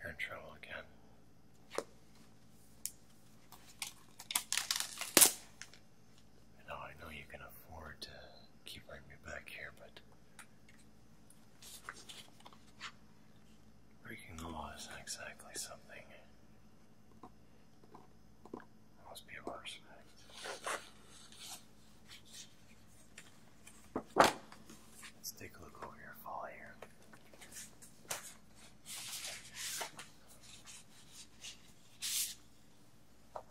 You're in trouble again. Now I know you can afford to keep bringing me back here, but breaking the law is not exactly something that must be Let's take a look over your fall here. Okay. Yes, of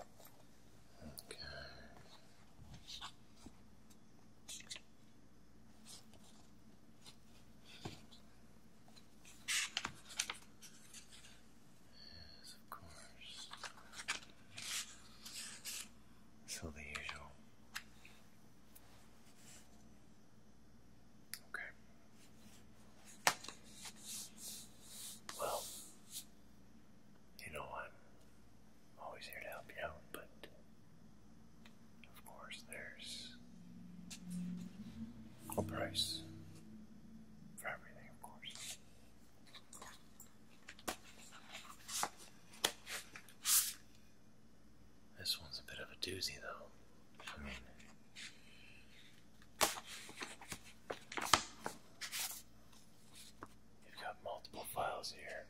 course. So the usual. Okay. Well, you know I'm always here to help you out, but of course there's a price for everything, of course. This one's a bit of a doozy, though. I mean, you've got multiple files here.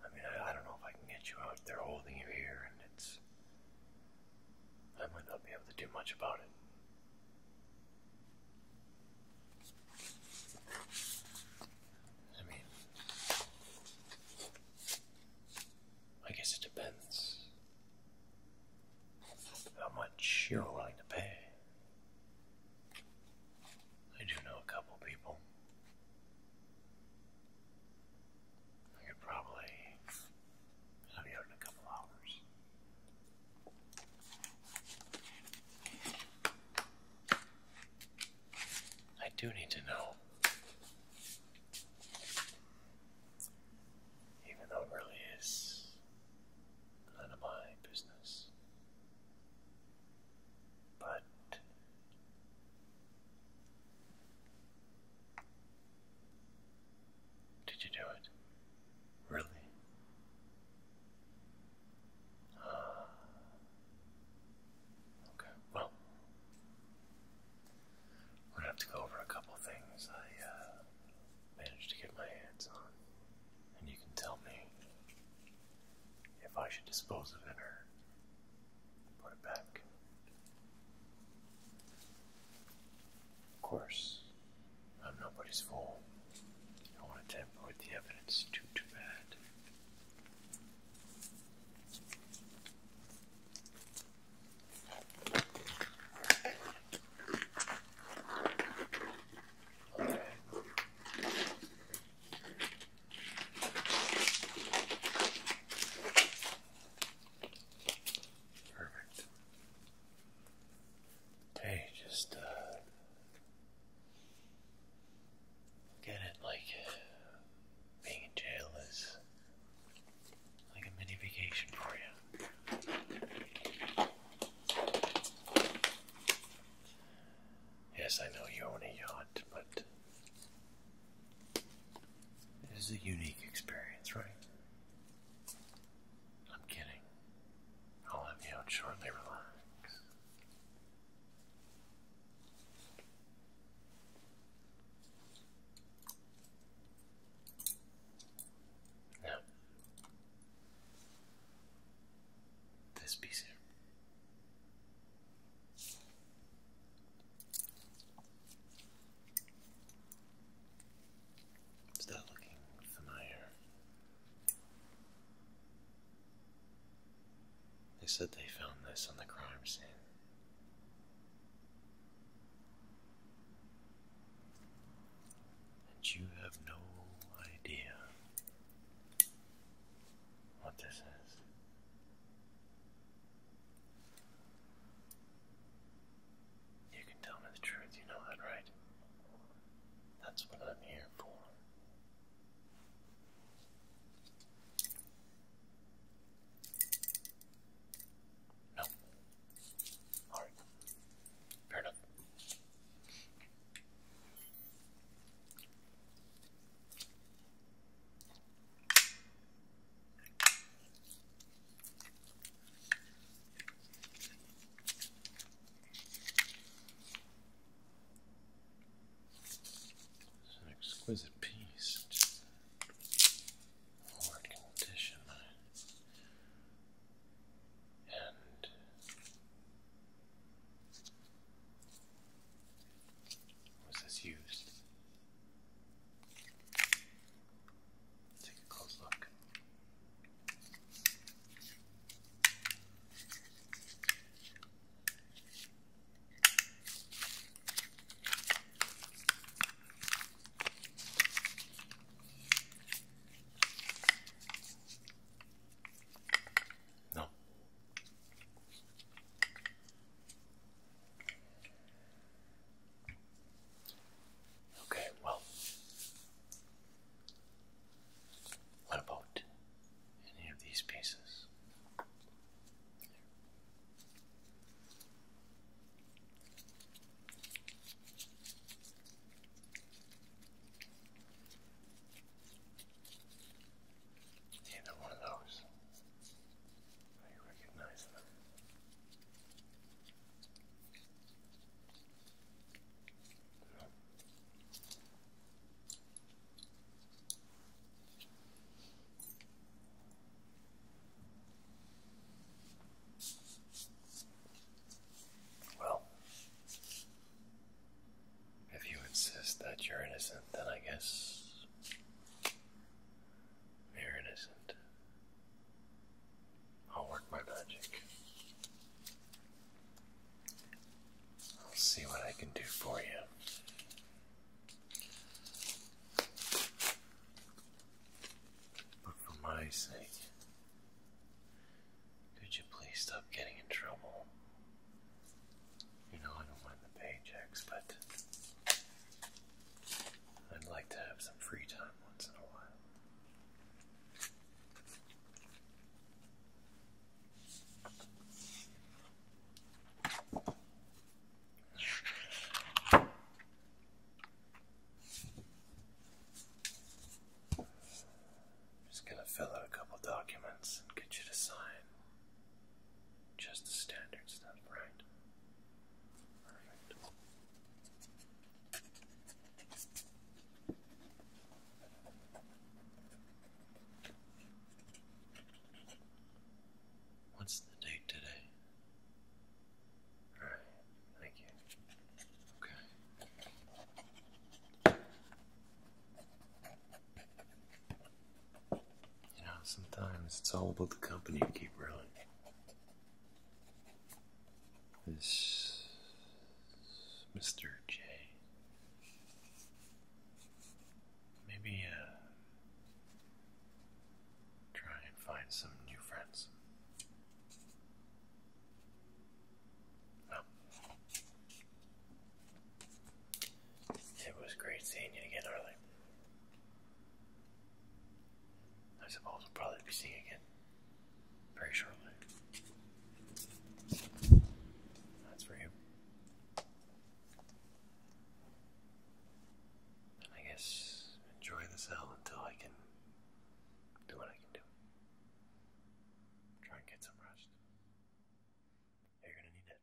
I mean, I, don't know if I can get you out. They're holding you here, and it's. I might not be able to do much about it. I mean, I guess it depends how much you're willing to pay. I do know a couple people. I could probably have you out in a couple hours. I do need to know. Even though it really is none of my business. But did you do it? Really? Ah. Okay, well, I'm gonna have to go over a couple things I uh, managed to get my hands on, and you can tell me if I should dispose of it or put it back. Of course, I'm nobody's fool. I don't want to tamper with the evidence too, too bad. Perfect. Hey, just uh, Get it like uh, being in jail is like a mini vacation for you. Yes, I know you own a yacht, but it is a unique experience, right? I'm kidding. I'll let you out shortly, relax. Now, this piece here. Is that looking familiar? They said they found this on the crime scene. And you have no idea what this is. You can tell me the truth, you know that, right? That's what I'm here for. No. Alright. Fair enough. It's an exquisite piece. poor condition. And was this used? take a close look. No. Okay, well, what about any of these pieces? Either one of those. I recognize them. Well, if you insist that you're innocent, then I guess you're innocent. I'll work my magic. I'll see what I can do for you. But for my sake, could you please stop getting in trouble? You know, I don't mind the paychecks, but I'd like to have some free time once in a while. Just gonna fill out a couple documents and get you to sign just the standard stuff, right? Perfect. What's the date today? Alright, thank you. Okay. You know, sometimes it's all about the company you keep running. This Mr. J. Maybe uh, try and find some new friends. Oh. It was great seeing you again, Arlie. I suppose we'll probably be seeing again. Very shortly. That's for you. I guess enjoy the cell until I can do what I can do. Try and get some rest. You're gonna need it.